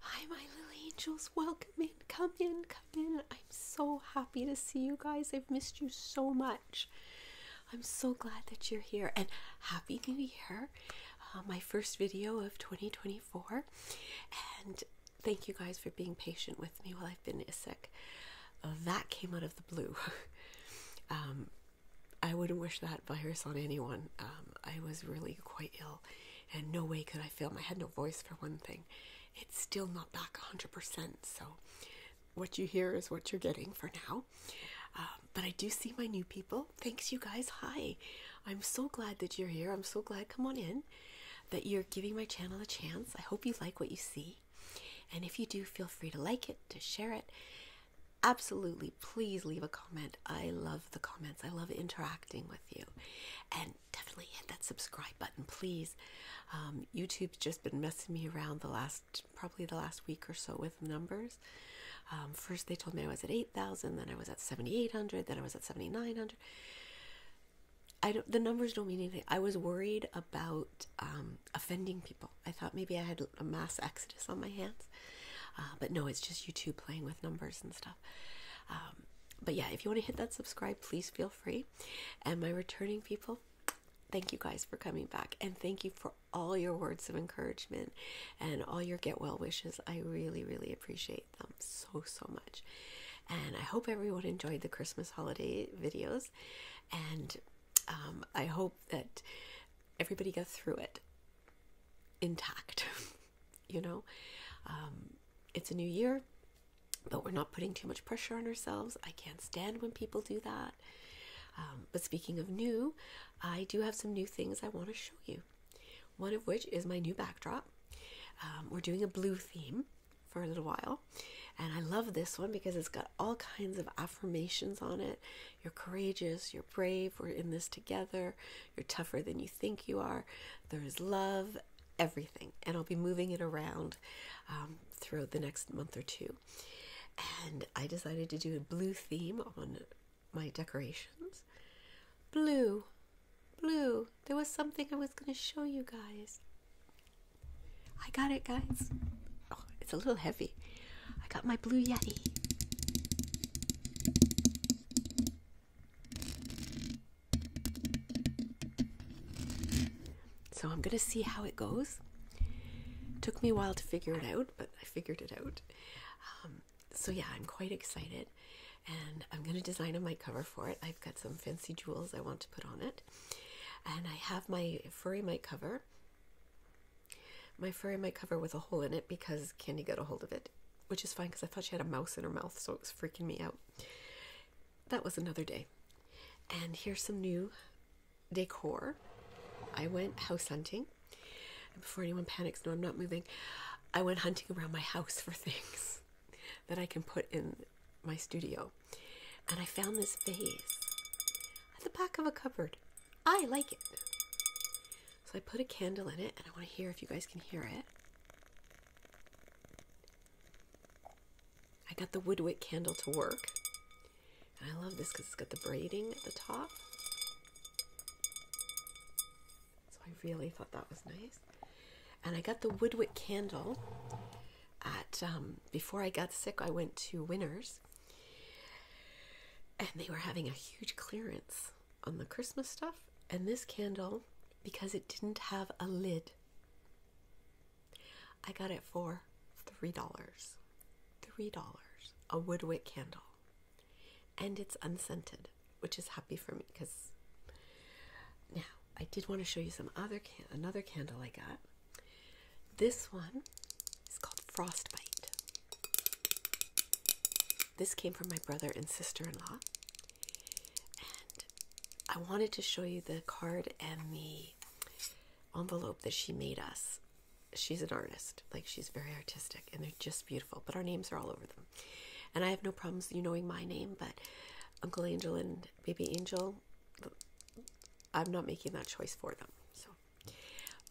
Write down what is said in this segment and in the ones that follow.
Hi, my little angels. Welcome in. Come in. Come in. I'm so happy to see you guys. I've missed you so much. I'm so glad that you're here and happy new year. Uh, my first video of 2024. And thank you guys for being patient with me while I've been sick. Uh, that came out of the blue. Um, I wouldn't wish that virus on anyone. Um, I was really quite ill and no way could I film. I had no voice for one thing. It's still not back 100%. So, what you hear is what you're getting for now. Um, but I do see my new people. Thanks, you guys. Hi. I'm so glad that you're here. I'm so glad, come on in, that you're giving my channel a chance. I hope you like what you see. And if you do, feel free to like it, to share it. Absolutely, please leave a comment. I love the comments, I love interacting interacting with you. And definitely hit that subscribe button, please. Um, YouTube's just been messing me around the last, probably the last week or so with numbers. Um, first, they told me I was at 8,000, then I was at 7,800, then I was at 7,900. I don't, the numbers don't mean anything. I was worried about um, offending people. I thought maybe I had a mass exodus on my hands. Uh, but no, it's just YouTube playing with numbers and stuff. Um, but yeah, if you want to hit that subscribe, please feel free. And my returning people, thank you guys for coming back. And thank you for all your words of encouragement and all your get well wishes. I really, really appreciate them so, so much. And I hope everyone enjoyed the Christmas holiday videos. And um, I hope that everybody got through it intact. you know um, it's a new year but we're not putting too much pressure on ourselves i can't stand when people do that um, but speaking of new i do have some new things i want to show you one of which is my new backdrop um, we're doing a blue theme for a little while and i love this one because it's got all kinds of affirmations on it you're courageous you're brave we're in this together you're tougher than you think you are. There is love, everything. And I'll be moving it around um, throughout the next month or two. And I decided to do a blue theme on my decorations. Blue, blue. There was something I was going to show you guys. I got it, guys. Oh, it's a little heavy. I got my blue Yeti. So I'm gonna see how it goes. Took me a while to figure it out, but I figured it out. Um, so yeah, I'm quite excited, and I'm gonna design a mite cover for it. I've got some fancy jewels I want to put on it, and I have my furry mite cover. My furry mite cover with a hole in it because Candy got a hold of it which is fine because I thought she had a mouse in her mouth, so it was freaking me out. That was another day. And here's some new decor. I went house hunting. And before anyone panics, no, I'm not moving. I went hunting around my house for things that I can put in my studio. And I found this vase at the back of a cupboard. I like it. So I put a candle in it, and I want to hear if you guys can hear it. I got the Woodwick candle to work. And I love this because it's got the braiding at the top. So I really thought that was nice. And I got the Woodwick candle at, um, before I got sick, I went to Winners. And they were having a huge clearance on the Christmas stuff, and this candle, because it didn't have a lid, I got it for $3. $3. A wood wick candle. And it's unscented, which is happy for me because now I did want to show you some other can another candle I got. This one is called Frostbite. This came from my brother and sister in law. And I wanted to show you the card and the envelope that she made us. She's an artist, like, she's very artistic, and they're just beautiful. But our names are all over them. And I have no problems you knowing my name, but Uncle Angel and Baby Angel, I'm not making that choice for them. So,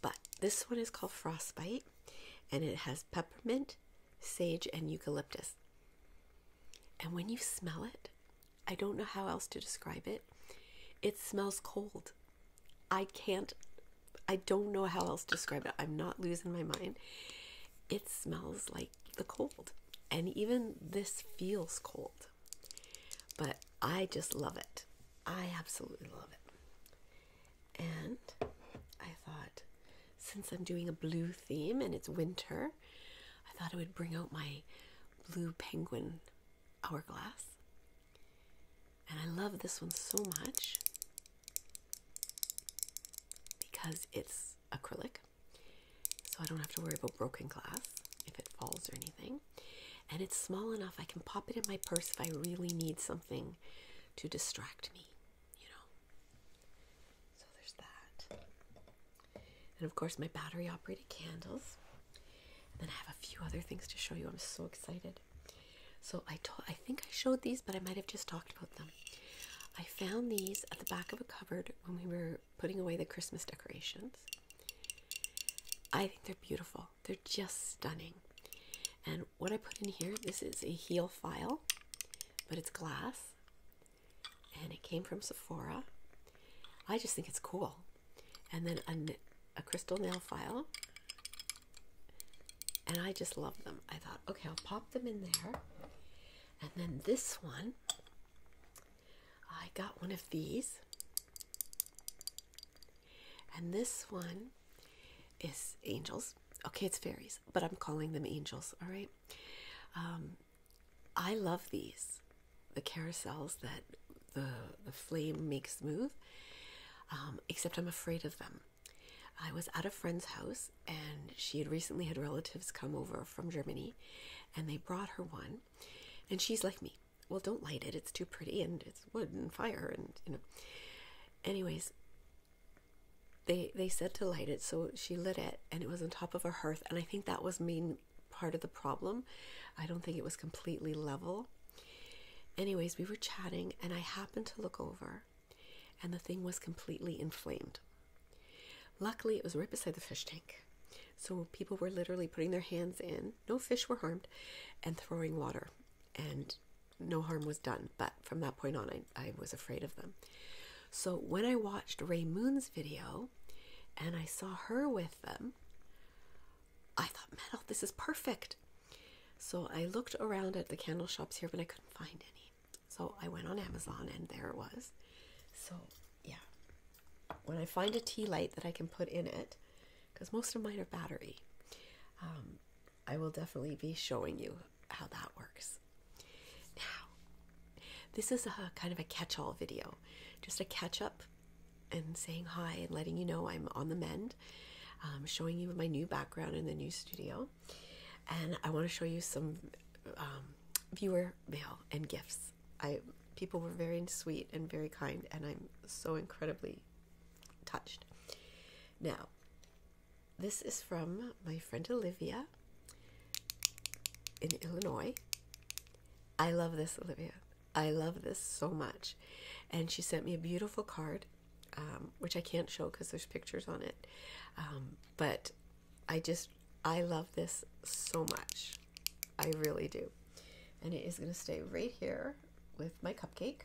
but this one is called Frostbite, and it has peppermint, sage, and eucalyptus. And when you smell it, I don't know how else to describe it. It smells cold. I can't, I don't know how else to describe it. I'm not losing my mind. It smells like the cold. And even this feels cold. But I just love it. I absolutely love it. And I thought, since I'm doing a blue theme and it's winter, I thought it would bring out my blue penguin hourglass. And I love this one so much because it's acrylic. So I don't have to worry about broken glass if it falls or anything. And it's small enough I can pop it in my purse if I really need something to distract me you know. So there's that. And of course, my battery operated candles. And then I have a few other things to show you. I'm so excited. So I told I think I showed these, but I might have just talked about them. I found these at the back of a cupboard when we were putting away the Christmas decorations. I think they're beautiful. They're just stunning. And what I put in here, this is a heel file, but it's glass. And it came from Sephora. I just think it's cool. And then a, crystal nail file. And I just love them. I thought, okay, I'll pop them in there. And then this one, I got one of these. And this one is angels. Okay, it's fairies, but I'm calling them angels, all right? Um, I love these the carousels that the, the flame makes move, um, except I'm afraid of them. I was at a friend's house and she had recently had relatives come over from Germany and they brought her one and she's like me. Well, don't light it. It's too pretty and it's wood and fire and you know. Anyways, they they said to light it, so she lit it, and it was on top of a hearth, and I think that was main part of the problem. I don't think it was completely level. Anyways, we were chatting, and I happened to look over, and the thing was completely inflamed. Luckily, it was right beside the fish tank. So people were literally putting their hands in, no fish were harmed, and throwing water and no harm was done. But from that point on, I, I was afraid of them. So when I watched Ray Moon's video and I saw her with them, I thought, metal, this is perfect. So I looked around at the candle shops here, but I couldn't find any. So I went on Amazon and there it was. So yeah, when I find a tea light that I can put in it, because most of mine are battery, um, I will definitely be showing you how that works. Now, this is a kind of a catch all video, just a catch up and saying hi and letting you know I'm on the mend, um, showing you my new background in the new studio. And I want to show you some um, viewer mail and gifts. I people were very sweet and very kind, and I'm so incredibly touched. Now, this is from my friend Olivia in Illinois. I love this, Olivia. I love this so much. And she sent me a beautiful card, um, which I can't show because there's pictures on it. Um, but I just, I love this so much. I really do. And it is going to stay right here with my cupcake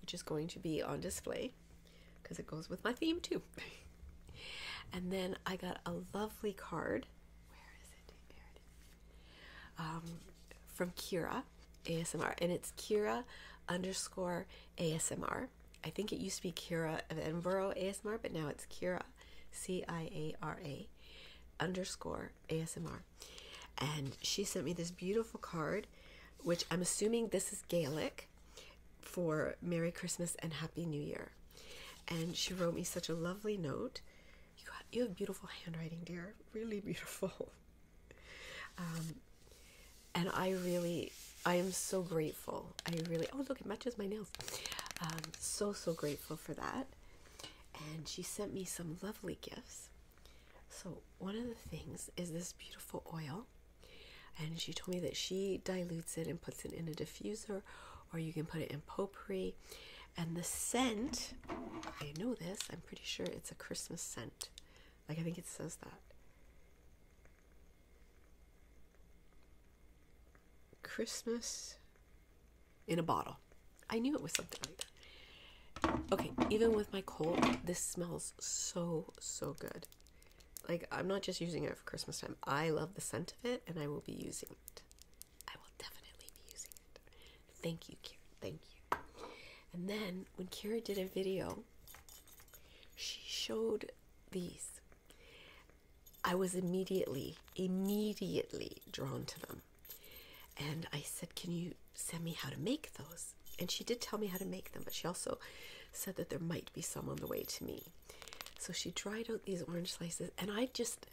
which is going to be on display because it goes with my theme too. and then I got a lovely card. Where is it? There it is. Um, from Kira ASMR, and it's Kira underscore ASMR. I think it used to be Kira of Edinburgh ASMR, but now it's Kira, C I A R A, underscore ASMR. And she sent me this beautiful card, which I'm assuming this is Gaelic for Merry Christmas and Happy New Year. And she wrote me such a lovely note. You have, you have beautiful handwriting, dear. Really beautiful. Um, and I really, I am so grateful. I really, oh, look, it matches my nails. Um, so, so grateful for that. And she sent me some lovely gifts. So, one of the things is this beautiful oil and she told me that she dilutes it and puts it in a diffuser, or you can put it in potpourri. And the scent, I know this, I'm pretty sure it's a Christmas scent. Like, I think it says that. Christmas in a bottle. I knew it was something like that. Okay, even with my cold, this smells so, so good. Like, I'm not just using it for Christmas time. I love the scent of it and I will be using it. I will definitely be using it. Thank you, Kira. Thank you. And then when Kira did a video, she showed these. I was immediately, immediately drawn to them. And I said, Can you send me how to make those? And she did tell me how to make them, but she also said that there might be some on the way to me. So she dried out these orange slices, and I just,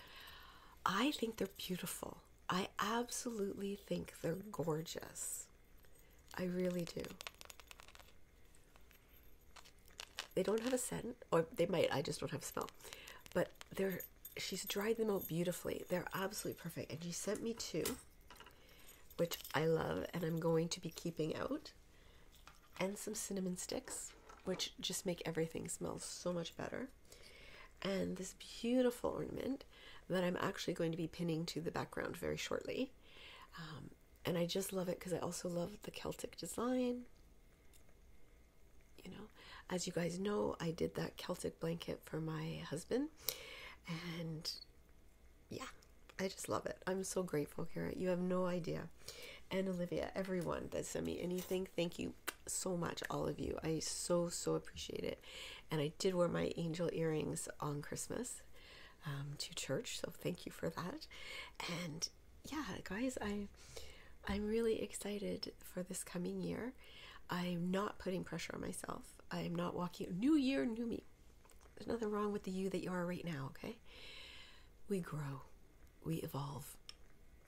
I think they're beautiful. I absolutely think they're gorgeous. I really do. They don't have a scent, or they might, I just don't have smell. But they're, she's dried them out beautifully. They're absolutely perfect. And she sent me two which I love and I'm going to be keeping out, and some cinnamon sticks, which just make everything smell so much better. And this beautiful ornament that I'm actually going to be pinning to the background very shortly. Um, and I just love it because I also love the Celtic design. You know, as you guys know, I did that Celtic blanket for my husband, and yeah, I just love it. I'm so grateful, Kara. You have no idea. And Olivia, everyone that sent me anything, thank you so much, all of you. I so, so appreciate it. And I did wear my angel earrings on Christmas um, to church, so thank you for that. And yeah, guys, I, I'm really excited for this coming year. I'm not putting pressure on myself. I'm not walking, new year, new me. There's nothing wrong with the you that you are right now, okay? We grow, we evolve,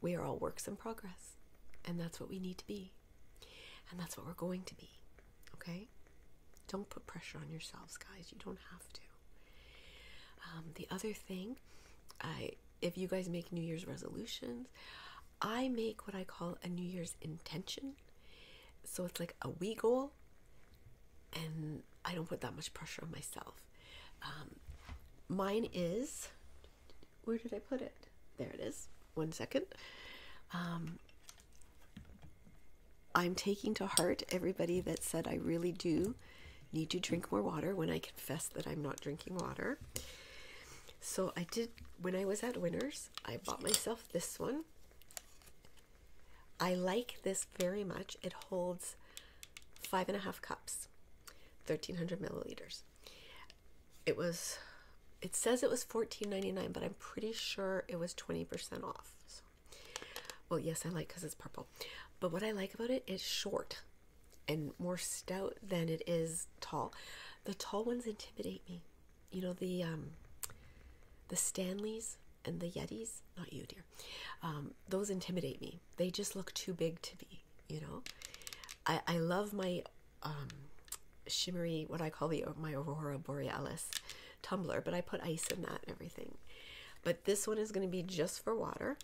we are all works in progress, and that's what we need to be, and that's what we're going to be, okay? Don't put pressure on yourselves, guys. You don't have to. Um, the other thing, I if you guys make New Year's resolutions, I make what I call a New Year's intention. So it's like a we goal and I don't put that much pressure on myself. Um, mine is, where did I put it? There it is. One second. Um, I'm taking to heart everybody that said I really do need to drink more water when I confess that I'm not drinking water. So I did, when I was at Winners, I bought myself this one. I like this very much. It holds five and a half cups, 1300 milliliters. It was, it says it was $14.99, but I'm pretty sure it was 20% off. well, yes, I like because it's purple. But what I like about it's short and more stout than it is tall. The tall ones intimidate me. You know, the um, the Stanleys, and the yetis not you dear um, those intimidate me they just look too big to me. you know i i love my um, shimmery what i call the my aurora borealis tumbler but i put ice in that and everything but this one is going to be just for water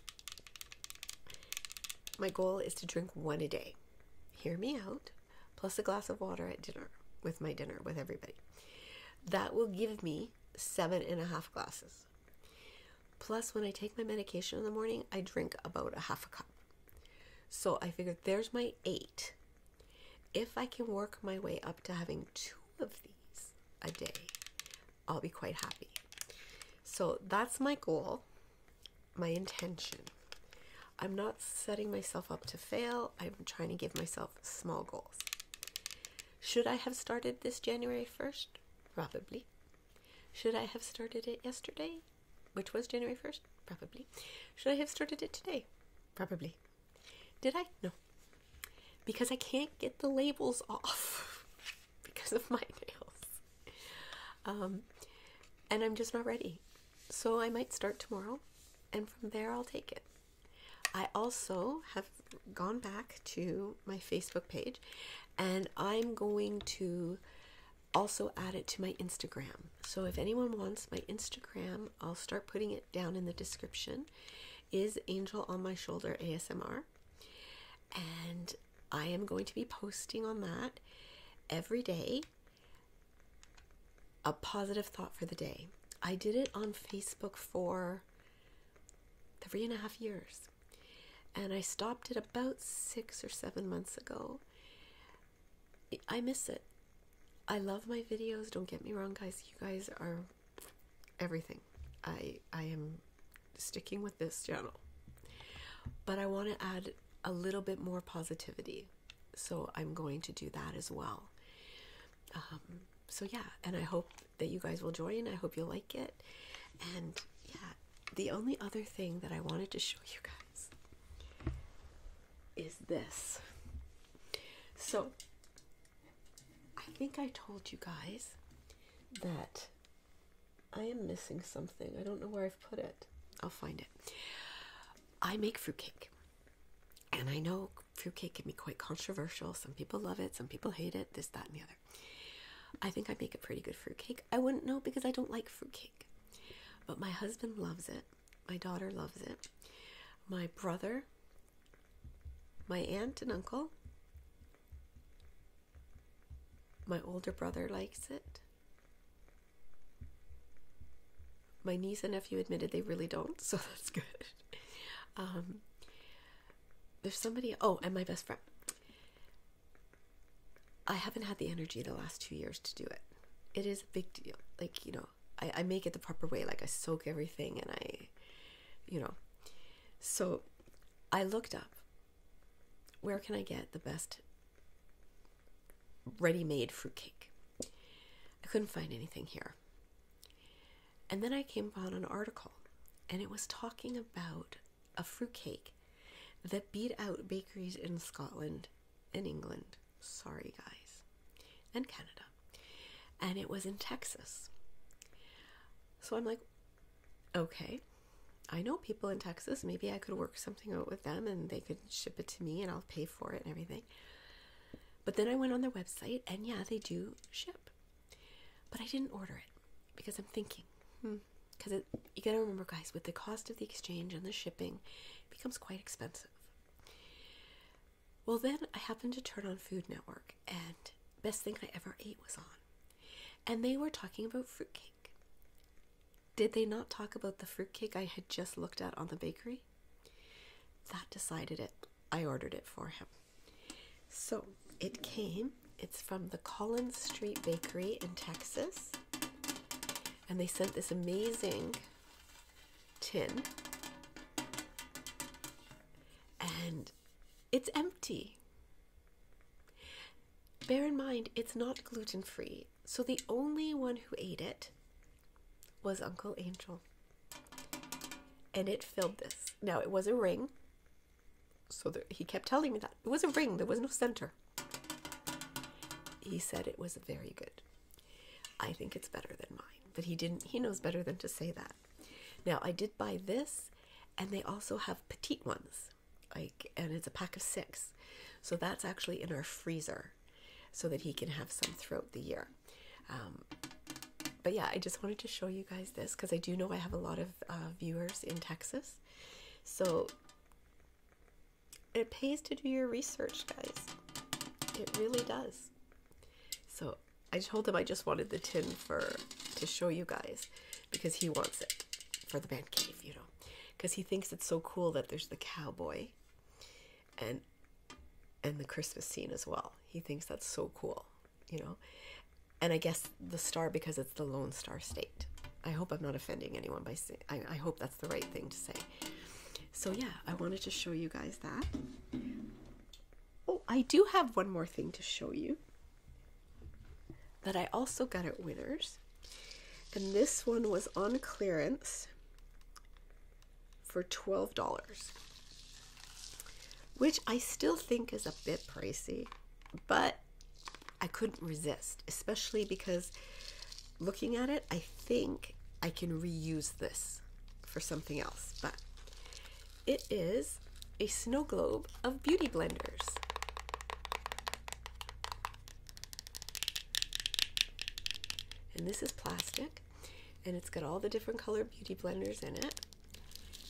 my goal is to drink one a day hear me out plus a glass of water at dinner with my dinner with everybody that will give me seven and a half glasses. Plus, when I take my medication in the morning, I drink about a half a cup. So I figured there's my eight. If I can work my way up to having two of these a day, I'll be quite happy. So that's my goal, my intention. I'm not setting myself up to fail, I'm trying to give myself small goals. Should I have started this January 1st? Probably. Should I have started it yesterday, which was January 1st? Probably. Should I have started it today? Probably. Did I? No. Because I can't get the labels off because of my nails. Um, and I'm just not ready. So I might start tomorrow, and from there I'll take it. I also have gone back to my Facebook page and I'm going to also add it to my Instagram. So if anyone wants my Instagram, I'll start putting it down in the description. Is Angel on my shoulder ASMR? And I am going to be posting on that every day a positive thought for the day. I did it on Facebook for three and a half years, and I stopped it about six or seven months ago. I miss it. I love my videos. Don't get me wrong, guys. You guys are everything. I I am sticking with this channel. But I want to add a little bit more positivity. So I'm going to do that as well. Um, so yeah, and I hope that you guys will join. I hope you like it. And yeah, the only other thing that I wanted to show you guys is this. So I think I told you guys that I am missing something. I don't know where I've put it. I'll find it. I make fruitcake. And I know fruitcake can be quite controversial. Some people love it, some people hate it, this, that, and the other. I think I make a pretty good fruitcake. I wouldn't know because I don't like fruitcake. But my husband loves it. My daughter loves it. My brother, my aunt and uncle, my older brother likes it. My niece and nephew admitted they really don't, so that's good. Um, there's somebody. Oh, and my best friend. I haven't had the energy the last two years to do it. It is a big deal. Like you know, I, make it the proper way. Like I soak everything, and I, you know, so I looked up. Where can I get the best ready-made fruit cake? I couldn't find anything here. And then I came upon an article and it was talking about a fruitcake that beat out bakeries in Scotland and England. Sorry, guys. And Canada. And it was in Texas. So I'm like, okay, I know people in Texas. Maybe I could work something out with them and they could ship it to me and I'll pay for it and everything. But then I went on their website, and yeah, they do ship. But I didn't order it because I'm thinking, because hmm, you gotta remember, guys, with the cost of the exchange and the shipping, it becomes quite expensive. Well, then I happened to turn on Food Network, and best thing I ever ate was on. And they were talking about fruitcake. Did they not talk about the fruitcake I had just looked at on the bakery? That decided it. I ordered it for him. So it came. It's from the Collins Street Bakery in Texas. And they sent this amazing tin. And it's empty. Bear in mind, it's not gluten free. So the only one who ate it was Uncle Angel. And it filled this. Now, it was a ring. So he kept telling me that. It was a ring, there was no center. He said it was very good. I think it's better than mine, but he didn't, he knows better than to say that. Now, I did buy this, and they also have petite ones, like, and it's a pack of six. So that's actually in our freezer so that he can have some throughout the year. Um, but yeah, I just wanted to show you guys this because I do know I have a lot of uh, viewers in Texas. So it pays to do your research, guys. It really does. So I told him I just wanted the tin for to show you guys because he wants it for the man cave, you know, because he thinks it's so cool that there's the cowboy and and the Christmas scene as well. He thinks that's so cool, you know. And I guess the star because it's the Lone Star State. I hope I'm not offending anyone by saying. I, I hope that's the right thing to say. So yeah, I wanted to show you guys that. Oh, I do have one more thing to show you that I also got at Winners. And this one was on clearance for $12, which I still think is a bit pricey, but I couldn't resist, especially because looking at it, I think I can reuse this for something else. But it is a snow globe of beauty blenders. And this is plastic and it's got all the different color beauty blenders in it,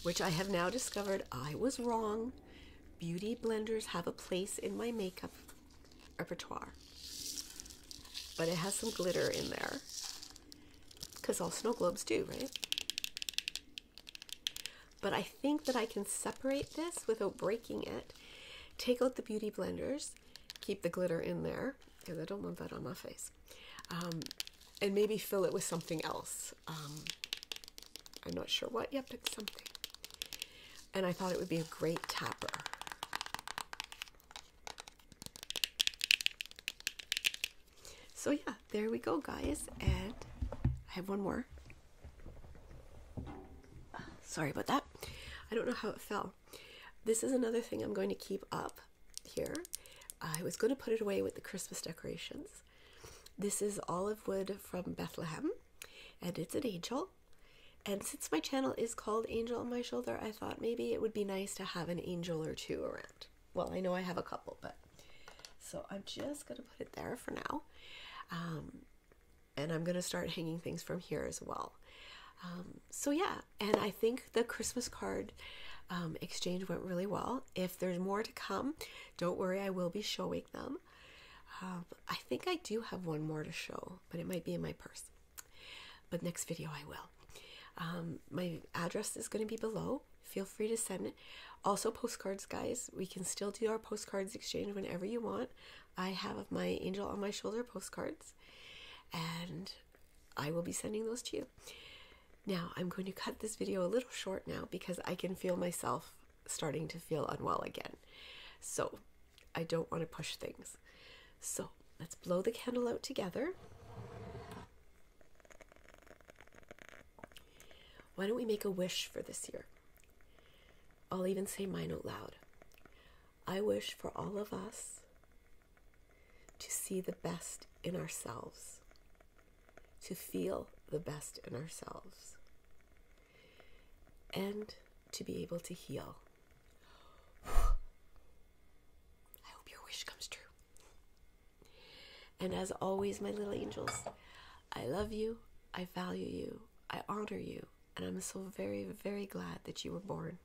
which I have now discovered I was wrong. Beauty blenders have a place in my makeup repertoire, but it has some glitter in there because all snow globes do, right? But I think that I can separate this without breaking it. Take out the beauty blenders, keep the glitter in there because I don't want that on my face. Um, and maybe fill it with something else. Um, I'm not sure what. yet, but something. And I thought it would be a great topper. So yeah, there we go, guys. And I have one more. Sorry about that. I don't know how it fell. This is another thing I'm going to keep up here. I was going to put it away with the Christmas decorations. This is olive wood from Bethlehem, and it's an angel. And since my channel is called Angel on My Shoulder, I thought maybe it would be nice to have an angel or two around. Well, I know I have a couple, but so I'm just going to put it there for now. Um, and I'm going to start hanging things from here as well. Um, so, yeah, and I think the Christmas card um, exchange went really well. If there's more to come, don't worry, I will be showing them. Um, I think I do have one more to show, but it might be in my purse. But next video, I will. Um, my address is going to be below. Feel free to send it. Also, postcards, guys. We can still do our postcards exchange whenever you want. I have my Angel on My Shoulder postcards. And I will be sending those to you. Now, I'm going to cut this video a little short now because I can feel myself starting to feel unwell again. So, I don't want to push things. So, let's blow the candle out together. Why don't we make a wish for this year? I'll even say mine out loud. I wish for all of us to see the best in ourselves, to feel the best in ourselves, and to be able to heal. I hope your wish comes true. And as always, my little angels, I love you, I value you, I honor you, and I'm so very, very glad that you were born.